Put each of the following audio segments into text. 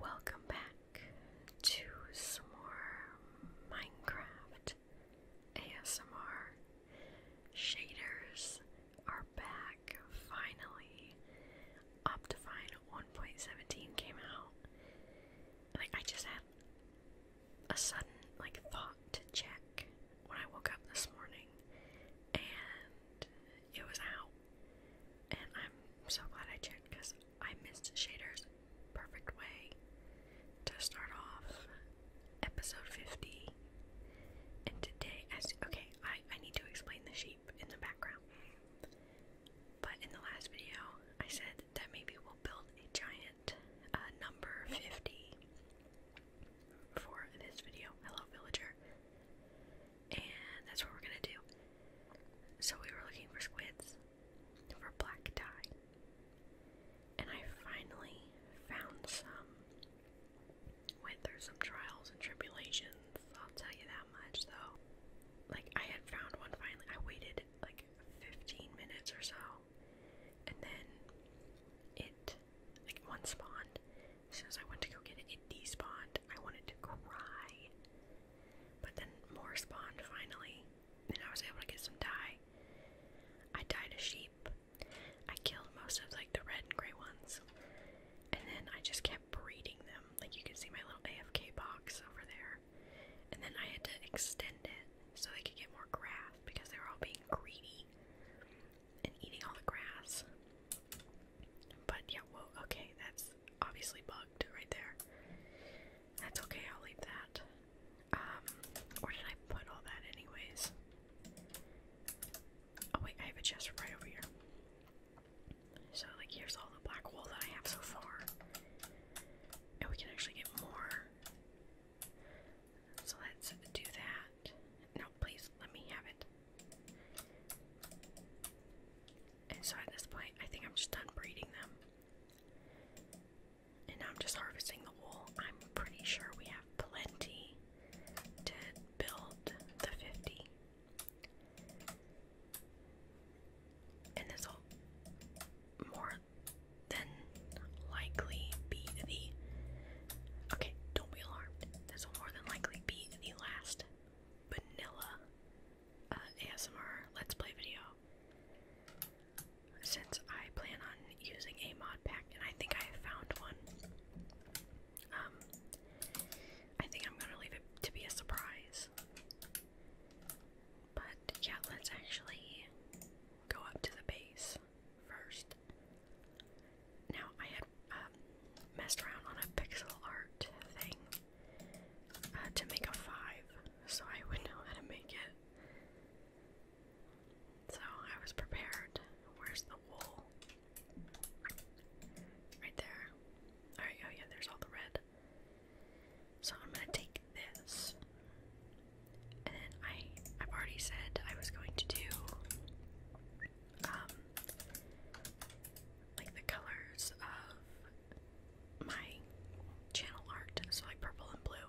Welcome back to some more Minecraft ASMR. Shaders are back finally. Optifine 1.17 came out. Like I just had a sudden like thought to check when I woke up this morning and it was out. And I'm so glad I checked because I missed Shader's perfect way to start off episode 50. And today, I as okay, I, I need to explain the sheep in the background. But in the last video, I said that maybe we'll build a giant uh, number 50 for this video. Hello, villager and that's what we're gonna do. So we were looking for squids for black dye, and I finally found some. Went through some trials and tribulations, I'll tell you that much though. Like, I had found one finally, I waited like 15 minutes or so, and then it, like, one spawned. As soon as I went to go get it, it despawned. I wanted to cry. But then more spawned finally, and I was able to get some dye. I dyed a sheep. I killed most of like the red and gray ones. And then I just kept breeding them. Like you can see my little AFK box over there. And then I had to extend it so they could get more grass because they were all being greedy and eating all the grass. But yeah, well, okay, that's obviously bugged right there. That's okay, I'll leave that. Um, where did I put all that anyways? Oh wait, I have a chest right over here. So like here's all the black wool that I have so far. And we can actually get more. So let's do that. No, please let me have it. And so at this point, I think I'm just done breeding them. And I'm just harvesting the wool. I'm pretty sure we have plenty to build the 50. And this will more than likely be the. Okay, don't be alarmed. This will more than likely be the last vanilla uh, ASMR Let's Play video. Since I plan on using a mod pack, and I think I found one. Um, I think I'm gonna leave it to be a surprise. But yeah, let's actually go up to the base first. Now I have um, messed around on a pixel art thing uh, to make a 5, so I would know how to make it. So I was prepared. Where's the wool? Right there. Alright, oh yeah, there's all the red. So I'm gonna take this. And I I've already said I was going to do um like the colors of my channel art, so like purple and blue.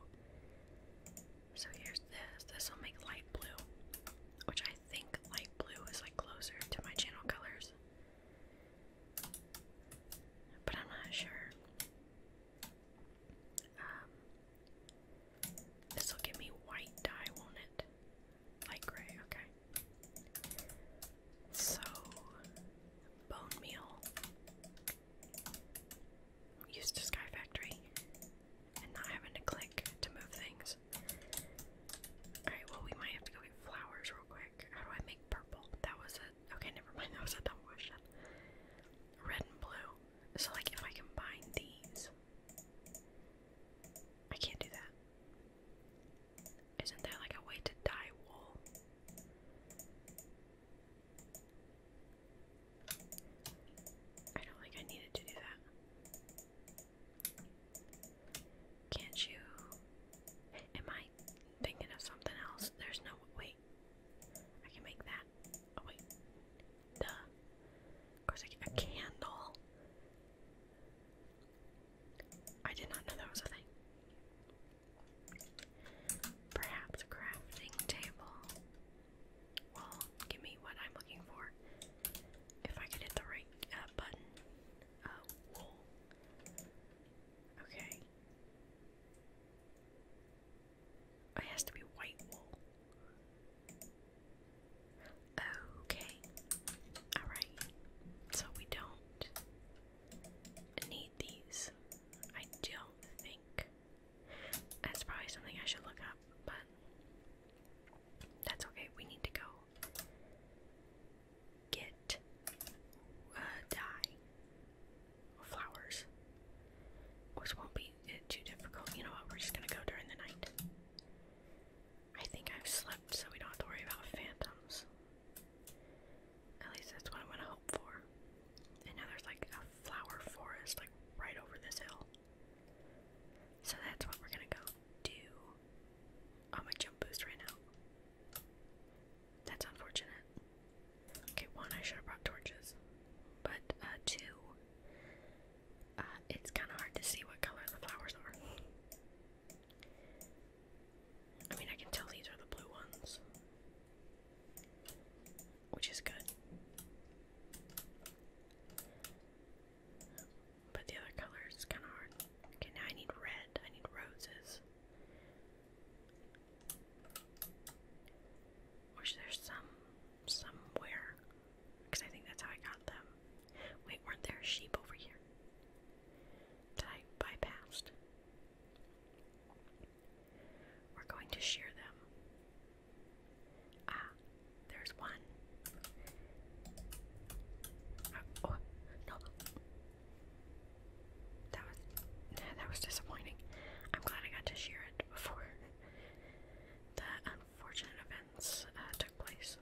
So here's this. This will make light blue, which I think light blue is like closer to my channel colors. But I'm not sure. Um, this will give me white dye, won't it? Light gray, okay. So, bone meal. Used to Sky Factory and not having to click to move things. Alright, well, we might have to go get flowers real quick. How do I make purple? That was a. Okay, never mind. That was a dumb question. Red and blue. So, like, if I combine these. I can't do that. Isn't there like a way to dye wool? I don't think I needed to do that. Can't you? Am I thinking of something else? There's no wait. I can make that. Oh wait. Duh. Of course I A candle. I did not know that was a thing. Perhaps crafting table. Well, give me what I'm looking for. If I could hit the right uh, button. Uh, wool. Okay. It has to be white wool. Okay. Alright. So we don't need these. I don't think. That's probably something I should look up, but that's okay. We need to go get uh, dye flowers, which won't be uh, too difficult. You know what? We're just gonna go during the night. I think I've slept, so we don't have to worry about phantoms. At least that's what I'm gonna hope for. And now there's like a flower forest like right over this hill. So that's what we're gonna go do. Oh my jump boost ran out. That's unfortunate. Okay, one I should have brought torches. But uh two uh it's kinda hard to see what color the flowers are. I mean, I can tell these are the blue ones, which is good. But the other colors is kind of hard. Okay, now I need red. I need roses. Which there's some somewhere, because I think that's how I got them. Wait, weren't there sheep over here? that I bypassed. We're going to share them. Ah, there's one. Ah, oh, no. That was that was disappointing. I'm glad I got to share it before the unfortunate events uh, took place.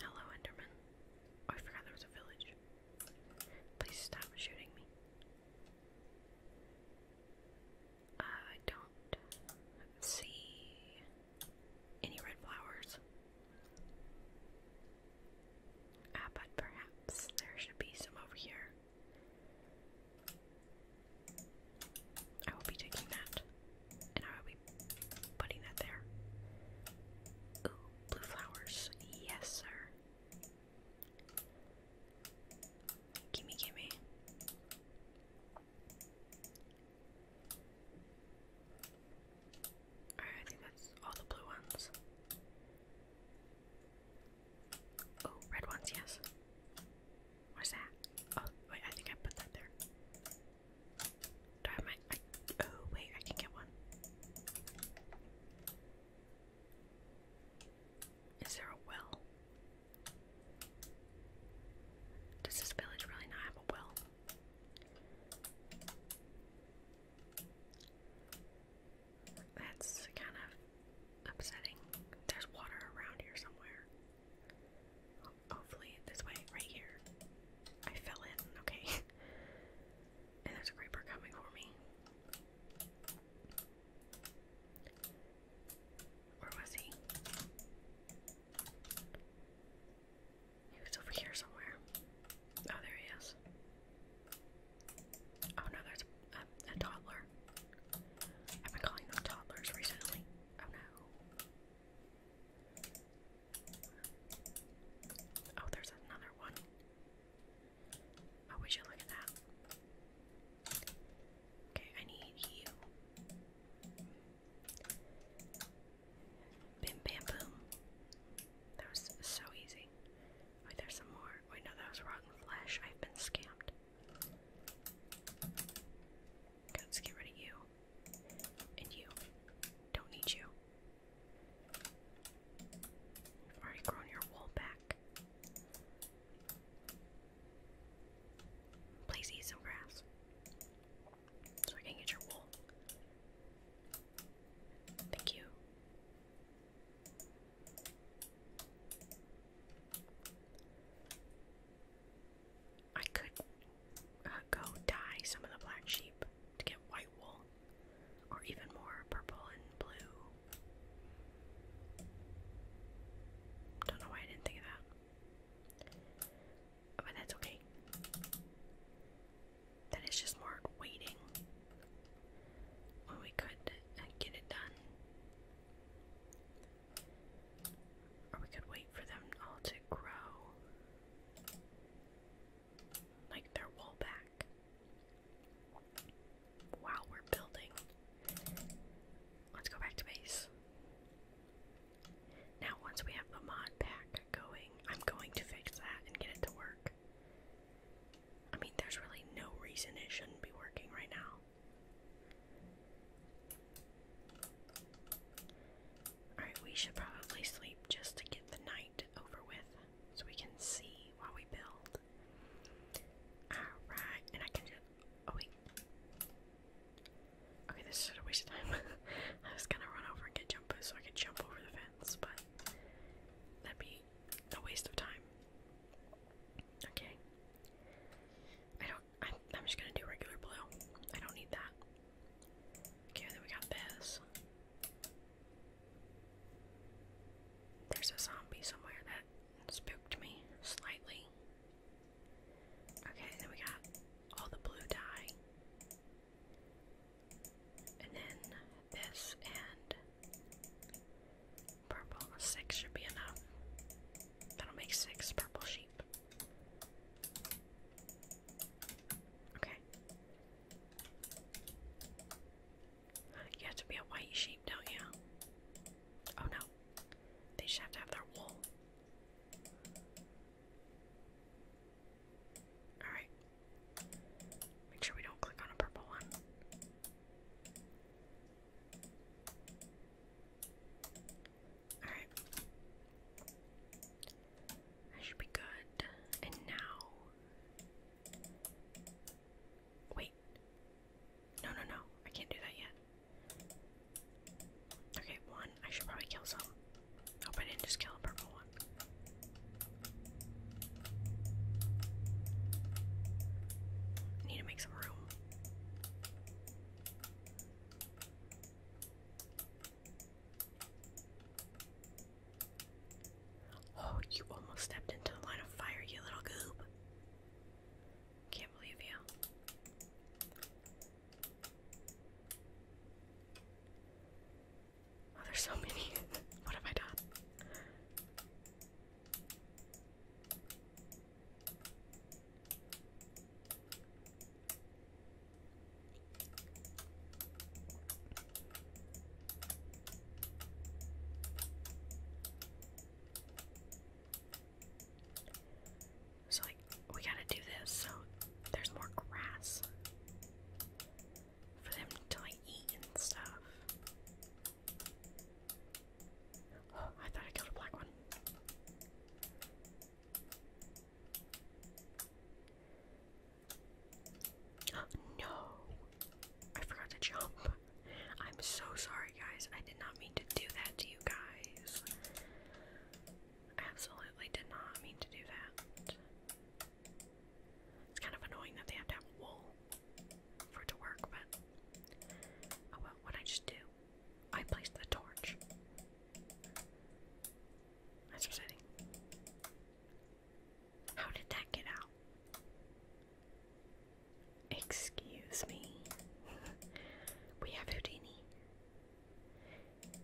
Hello, Enderman. Oh, I forgot there was a village. Please stop shooting me. Uh, I don't see any red flowers. Ah, but perhaps there should be some over here. I will be taking that, and I will be putting that there. Ooh, blue flowers. Yes, sir. Gimme, gimme. Alright, I think that's all the blue ones. Oh, red ones, yes. What's that? Oh, wait, I think I put that there. Darn my. oh, wait, I can get one. Is there a well? Does this village really not have a well? That's kind of upsetting. There's water around here somewhere hopefully this way, right here. I fell in, okay. and there's a creeper coming for me. Where was he? He was over here somewhere. Oh, there he is. Oh no, there's a toddler. I've been calling them toddlers recently. Oh no. Oh, there's another one. Oh, we should look at that. Okay, I need you. Bim bam boom. That was so easy. Wait, there's some more. Wait, no, that was rotten flesh. I've been scammed let's get rid of you. And you. Don't need you. already grown your wool back. Please eat some grass. So I can get your wool. Thank you. I could uh, go dye some of the black sheep to get white wool, or even more purple and blue. Don't know why I didn't think of that. But that's okay. That is just more waiting when we could uh, get it done. Or we could wait for them all to grow. Like their wall back. Wow, we're building. Let's go back to base. Now, once we have the mod pack going, I'm going to fix that and get it to work. I mean, there's really no reason it shouldn't be working right now. Alright, we should probably sleep just to get the night over with so we can see while we build. Alright, and I can do. Oh, wait. Okay, this is a waste of time. I was gonna run over and get jump so I could jump over the fence, but that'd be a waste of time. Okay. I don't. I'm just gonna do regular blue. I don't need that. Okay, then we got this. There's a zombie somewhere that spooked me slightly. Okay, then we got all the blue dye. And then this and purple. Six should be enough. That'll make six purple sheep. Okay. You have to be a white sheep, don't you? Oh no. They just have to have their wool. Alright. Make sure we don't click on a purple one. Alright. That should be good. And now. Wait. No, no, no. I can't do that yet. Okay, one. I should probably kill some. Hope I didn't just kill a purple one. Need to make some room. Oh, you almost stepped into the line of fire, you little goob. Can't believe you. Oh, there's so many. what have I done? So, like, we gotta do this so there's more grass for them to, like, eat and stuff. Oh, I thought I killed a black one. no! I forgot to jump. I'm so sorry, guys. I did not mean to do that to you guys. Absolutely did not mean to do that. It's kind of annoying that they have to have wool for it to work, but oh well, what I just do. I placed the torch. That's upsetting. How did that get out? Excuse me. we have Houdini.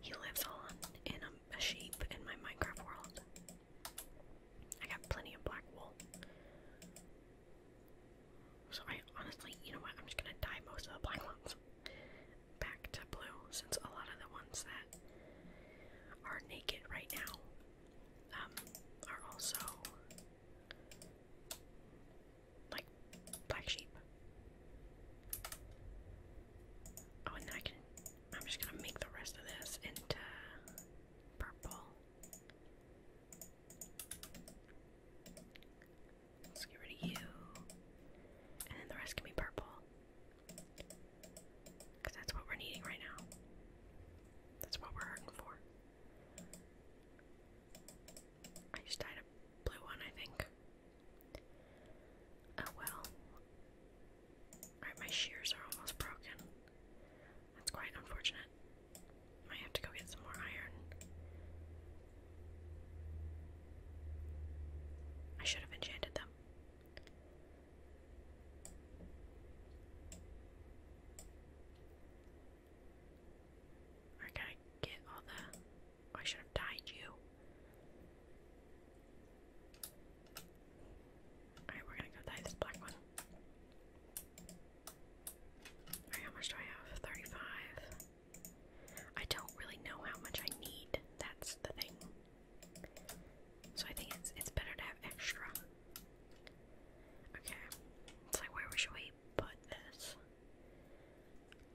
He lives on in a sheep in my Minecraft world. I got plenty of black wool. So I honestly, you know what? I'm just gonna dye most of the black ones back to blue since a lot of the ones that are naked right now um, are also like black sheep. Oh, and I can. I'm just gonna make the rest of this into purple. Let's get rid of you. And then the rest can be purple. Because that's what we're needing right now. That's what we're hurting for. I just dyed a blue one, I think. Oh well. Alright, my shears are almost broken. That's quite unfortunate. Might have to go get some more iron. I should have enchanted them them. I gotta get all the. Oh, I should have died you. Alright, we're gonna go dye this black one. Alright, how much do I have? 35. I don't really know how much I need. That's the thing. So I think it's it's better to have extra. Okay. So where should we put this?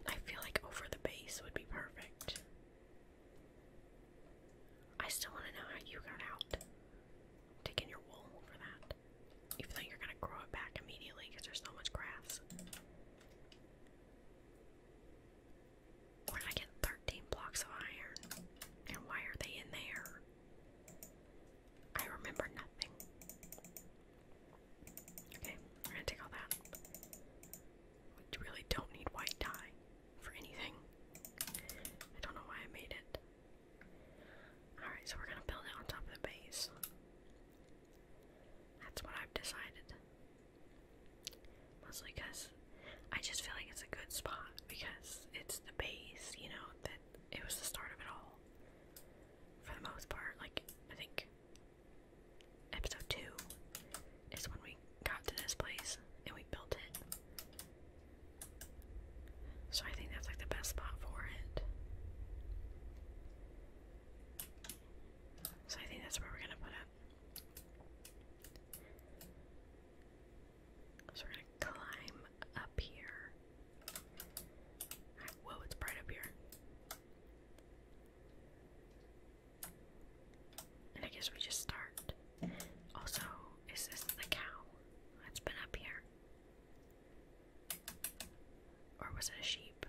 I feel like over the base would be perfect. I still want to know how you got out. Taking your wool for that. Even though you're gonna grow it back immediately because there's so much grass. Where did I get 13 blocks of iron? And why are they in there? I remember nothing. Okay, we're gonna take all that. We really don't need white dye for anything. I don't know why I made it. Alright, so we're gonna build it on top of the base. That's what I've decided. Mostly because I just feel like it's a good spot because it's the base, you know, that it was the start of it all. For the most part, like, I think episode 2 is when we got to this place and we built it. So I think that's like the best spot for it. So I think that's where we're gonna put it. So we climb up here. whoa, it's bright up here. And I guess we just start. Also, is this the cow that's been up here? Or was it a sheep?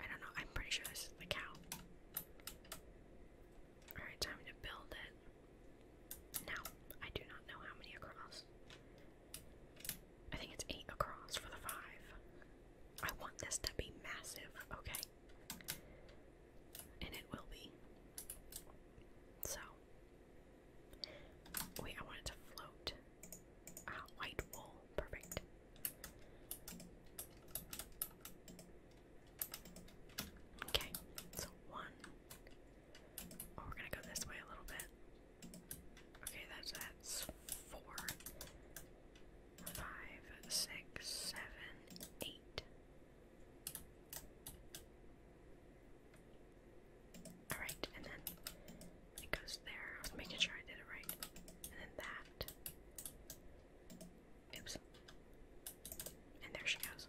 I don't know. I'm pretty sure this is the cow. Alright, time to build it. Now, I do not know how many across. I think it's eight across for the five. I want this to be massive, okay? And it will be. So. Wait, I want it to float. Ah, white wool. Perfect. Okay, so one. Oh, we're gonna go this way a little bit. Okay, that's that's four, five, six, seven, eight. All right, and then it goes there. I was making sure I did it right, and then that, Oops. And there she goes.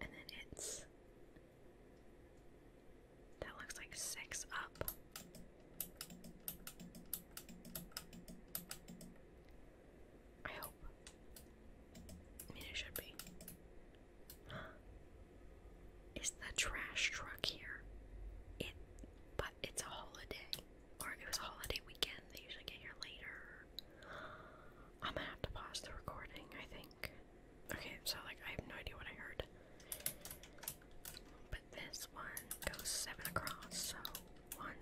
And then it's. That looks like six up. I hope. I mean, it should be. Is the trash truck here? It, but it's a holiday or it was a holiday weekend. They usually get here later. I'm gonna have to pause the recording, I think. Okay, so like I have no idea what I heard. But this one goes seven across, so one,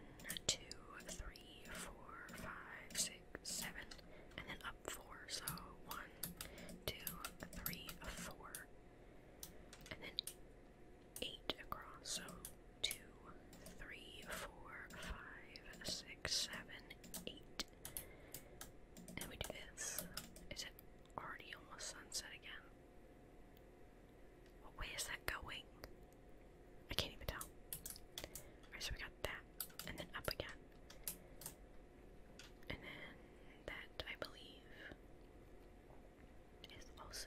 two, three, four, five, six, seven, and then up four, so one, two, three, four. And then eight across. So two, three, four, five, six, seven, eight. And we do this. Is it already almost sunset again? What that going? I can't even tell. Alright, so we got that. And then up again. And then that, I believe is also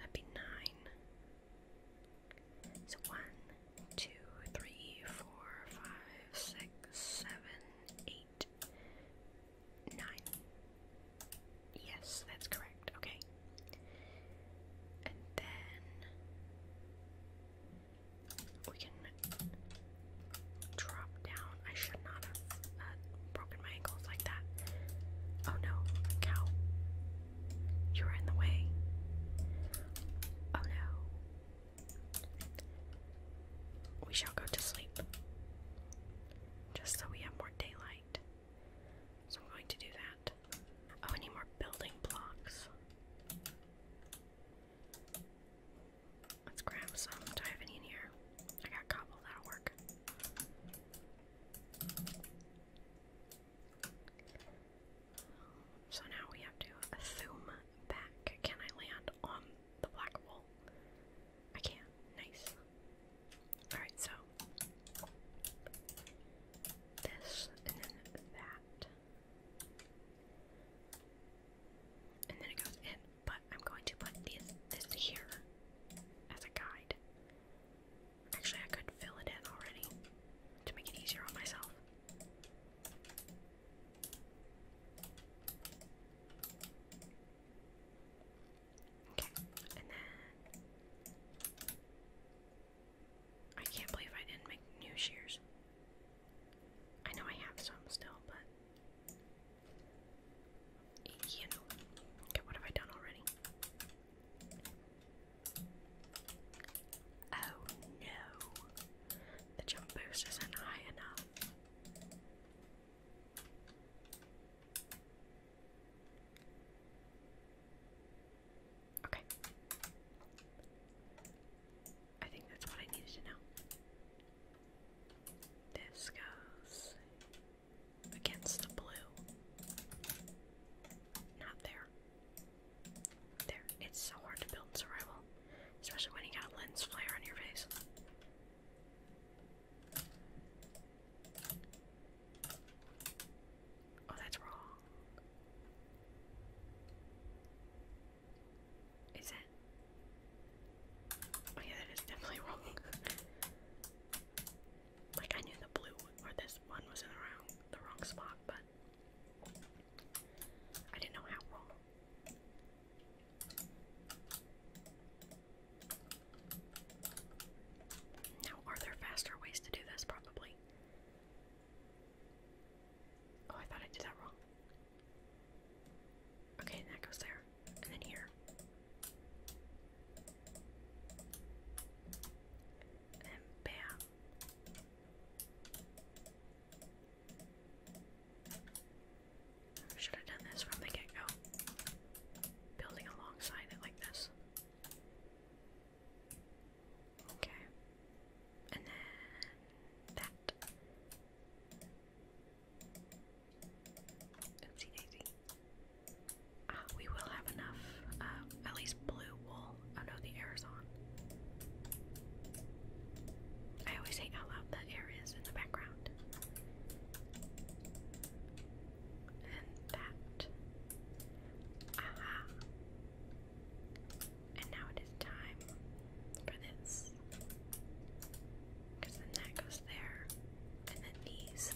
that be nine. So one, two, three, four, five, six, seven, eight, nine. Yes, that's correct. Okay. And then we can drop down I should not have uh, broken my ankles like that. Oh no, cow. You were in the way. Oh no. We shall go to sleep. Just so we have more daylight. So I'm going to do that. Oh, I need more building blocks. Let's grab some. Do I have any in here? I got cobble, that'll work. So now we have to zoom back. Can I land on the black wool? I can. Nice. Alright, so this and then that. And then it goes in but I'm going to put these, this here as a guide. Actually, I could fill it in already to make it easier on myself. Okay, and then I can't believe I didn't make new shears. I know I have some still, but you know. Okay, what have I done already? Oh no. The jump boost isn't high enough. Okay. I think that's what I needed to know. This goes against the blue. Not there. There. It's so hard to build survival, especially when you got lens flare on your face. Oh, that's wrong. Is it? Oh yeah, that is definitely wrong. like I knew the blue or this one was in the wrong the wrong spot, but I didn't know how wrong. Now are there faster ways to do this probably? Oh, I thought I did that wrong. Okay, that goes there and then here. And bam. Should have done this from the get go. Building alongside it like this. Okay. And then that. Ah, we will have enough, uh, at least blue wool. Oh no, the air I always hate how loud the air in the background. And that. Aha. And now it is time for this. Because then that goes there and then these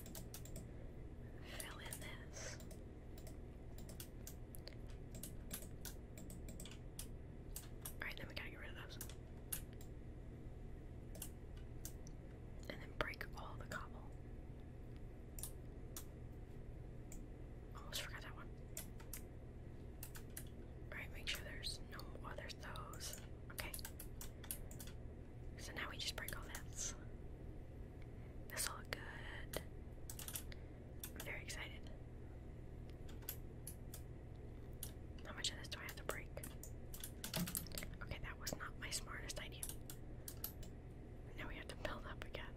fill in this. Alright, then we gotta get rid of those. And then break all the cobble. Almost forgot that one. Alright, make sure there's no other those. Okay. So now we just break all this. This will look good. I'm very excited. How much of this do I have to break? Okay, that was not my smartest idea. Now we have to build up again.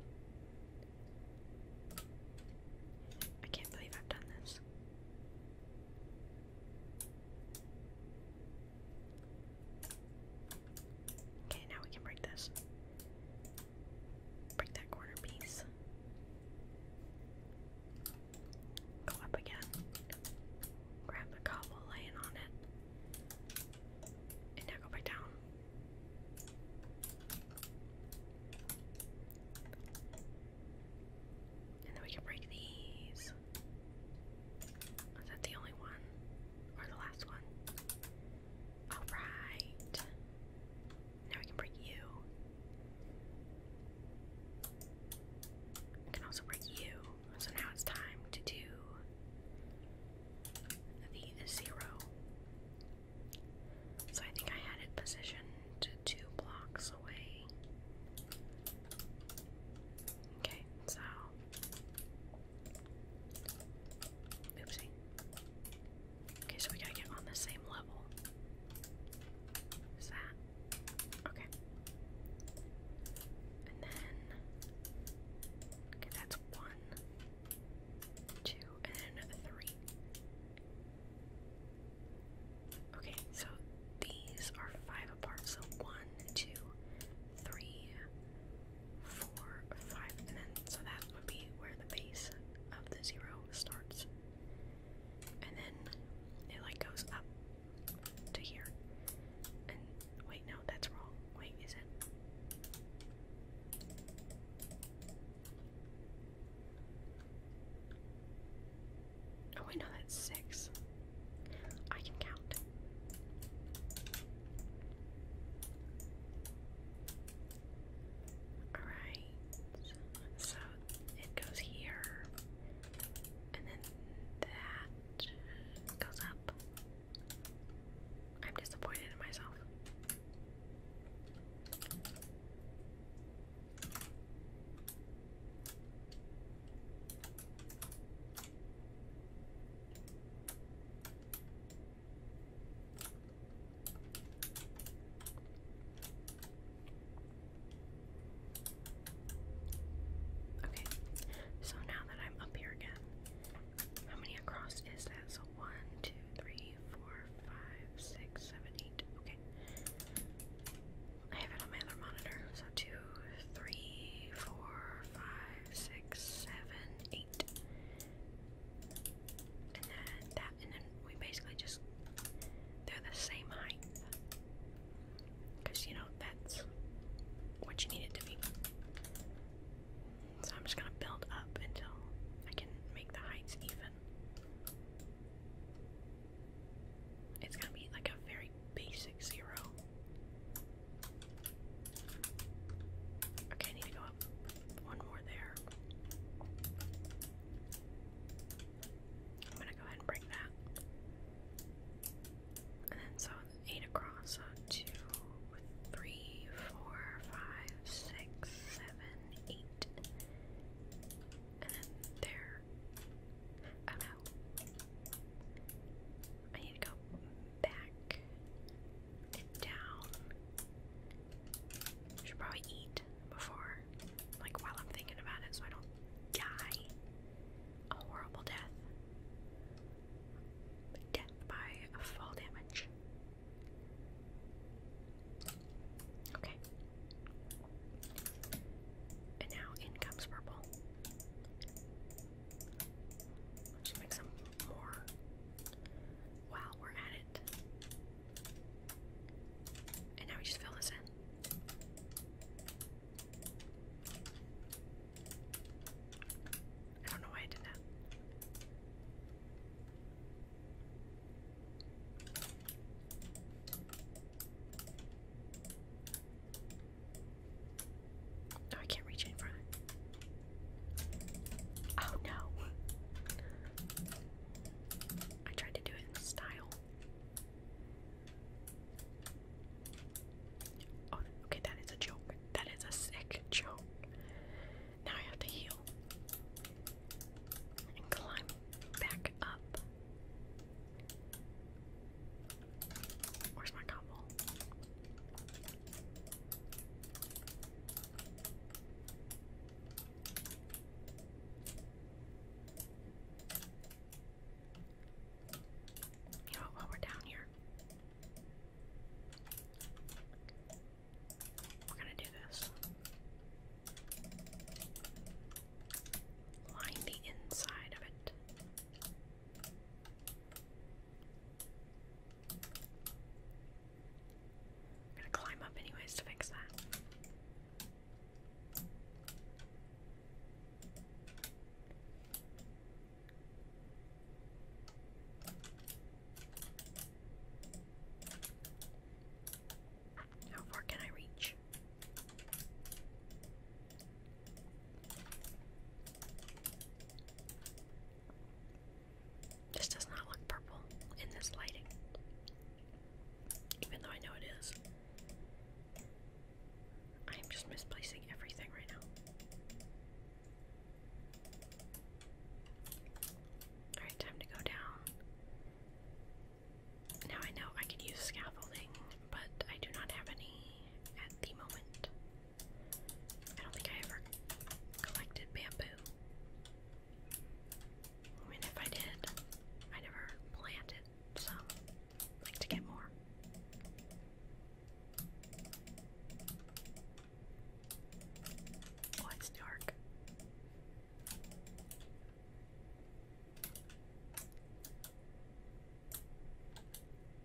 I can't believe I've done this. Okay, now we can break this. Break that corner piece. Go up again. Grab the cobble laying on it. And now go back down. And then we can break these. Is that the only one? Or the last one? Alright. Now we can break you. can also break you. So now it's time to do the zero. So I think I had it positioned two blocks away. Okay, so oopsie. Okay, so we gotta get on the same level. Is that okay? And then okay, that's one, two, and then three. Okay, so these are five apart. So one, two, three, four, five, and then so that would be where the base of the zero starts. And then it like goes up to here. And wait, no, that's wrong. Wait, is it? Oh I know that's six. I can count. Alright. So it goes here. And then that goes up. I'm disappointed in myself. Okay, so now that I'm up here again, how many across is that? So one, two, three, four, five, six, seven, eight. Okay. I have it on my other monitor. So two, three, four, five, six, seven, eight. And then that, and then we basically just, they're the same height. Because, you know, that's what you need it to be. So I'm just going to build up until I can make the heights even. It's going to be like a very like basic zero. Okay, I need to go up one more there. I'm gonna go ahead and break that. And then so eight across, so two, three, four, five, six, seven, eight. And then there. Oh no. I need to go back and down. should probably eat before, like while I'm thinking about it, so I don't die a horrible death. Death by fall damage. Okay. And now in comes purple. Should make some more while we're at it. And now we just fill this in. I don't know why I did that. No, I can't reach in front. Oh no. I tried to do it in style. Oh, okay, that is a joke. That is a sick joke. Now I have to heal. And climb back up. Where's my cobble? You know, while we're down here, we're gonna do this. Line the inside of it I'm gonna climb up anyways to fix that. How far can I reach? This does not look purple in this lighting, even though I know it is. I am just misplacing everything right now. Alright, time to go down. Now I know I could use scaffolding but I do not have any at the moment. I don't think I ever collected bamboo. I if I did, I never planted some. like to get more. Oh, it's dark.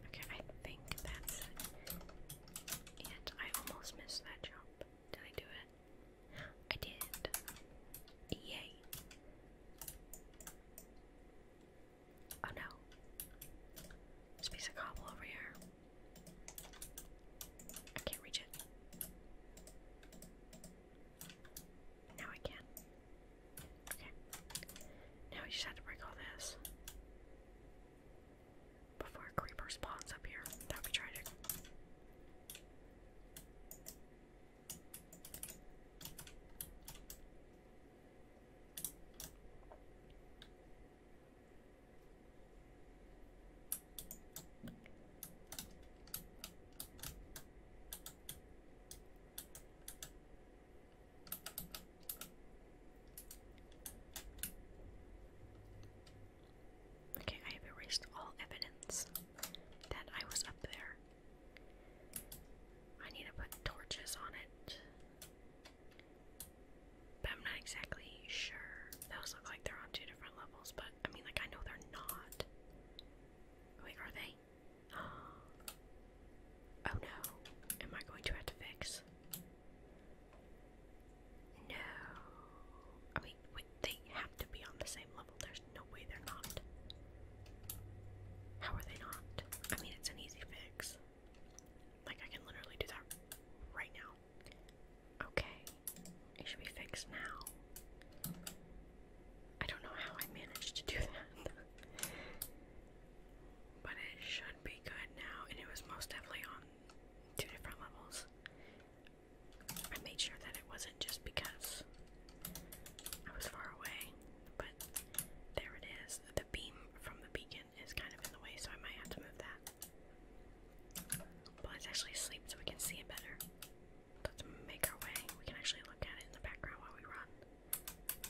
Okay, I think that's it. And I almost missed that jump. Did I do it? I did. Yay. Oh no. a piece of cobble over here. I can't reach it. Now I can. Okay. Now we just have to break all this. Before creeper spawns up here. That would be tragic. Okay, I have erased all evidence that I was up there. I need to put torches on it. But I'm not exactly sure. Those look like they're on two different levels, but I mean, like, I know they're not. Wait, are they? Oh no. Am I going to have to fix? No. I mean, wait, they have to be on the same level. There's no way they're not. How are they not? I mean, it's an easy fix. Like, I can literally do that right now. Okay. It should be fixed now. I don't know how I managed to do that. But it should be good now, and it was most definitely on two different levels. I made sure that it wasn't just because I was far away, but there it is. The beam from the beacon is kind of in the way, so I might have to move that. But it's actually asleep, so we can see it better. Let's make our way. We can actually look at it in the background while we run.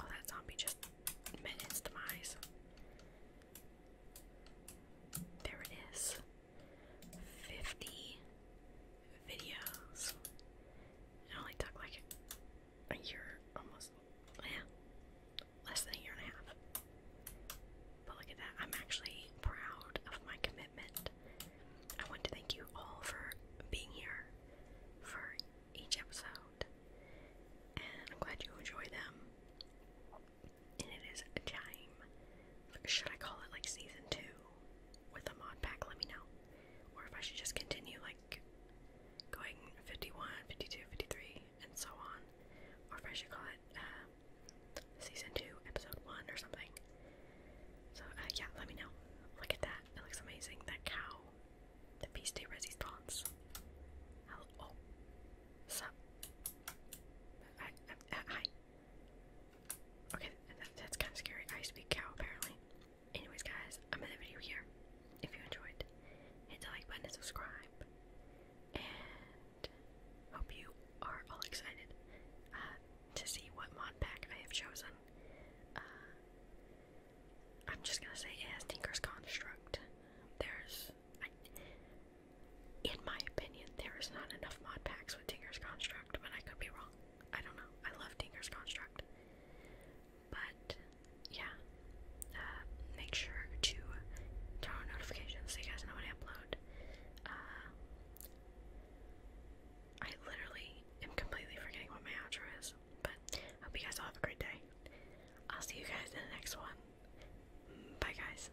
Oh, that zombie just met its demise. There it is. 50 videos. It only took like a year, almost, yeah, less than a year and a half. But look at that. I'm actually proud of my commitment. I want to thank you all for being here, for each episode, and I'm glad you enjoy them. And it is a time. Should I call it like season two with a mod pack? Let me know. Or if I should just continue like going 51, 52, 53, and so on. Or if I should call it uh, season two, episode one, or something. So, uh, yeah, let me know. Look at that. It looks amazing. That cow La piste de resistance. Hello. Oh. Sup. Uh, hi. Okay, that's kind of scary. I speak cow, apparently. Anyways, guys, I'm in the video here. If you enjoyed, hit the like button and subscribe. And hope you are all excited uh, to see what mod pack I have chosen. Uh, I'm just gonna say it Tinker's Construct. There's, in my opinion, there is not enough mod packs with Tinker's Construct, but I could be wrong. I don't know. I love Tinker's Construct. But, yeah. Uh, make sure to turn on notifications so you guys know when I upload. Uh, I literally am completely forgetting what my outro is. But I hope you guys all have a great day. I'll see you guys in the next one. Bye, guys.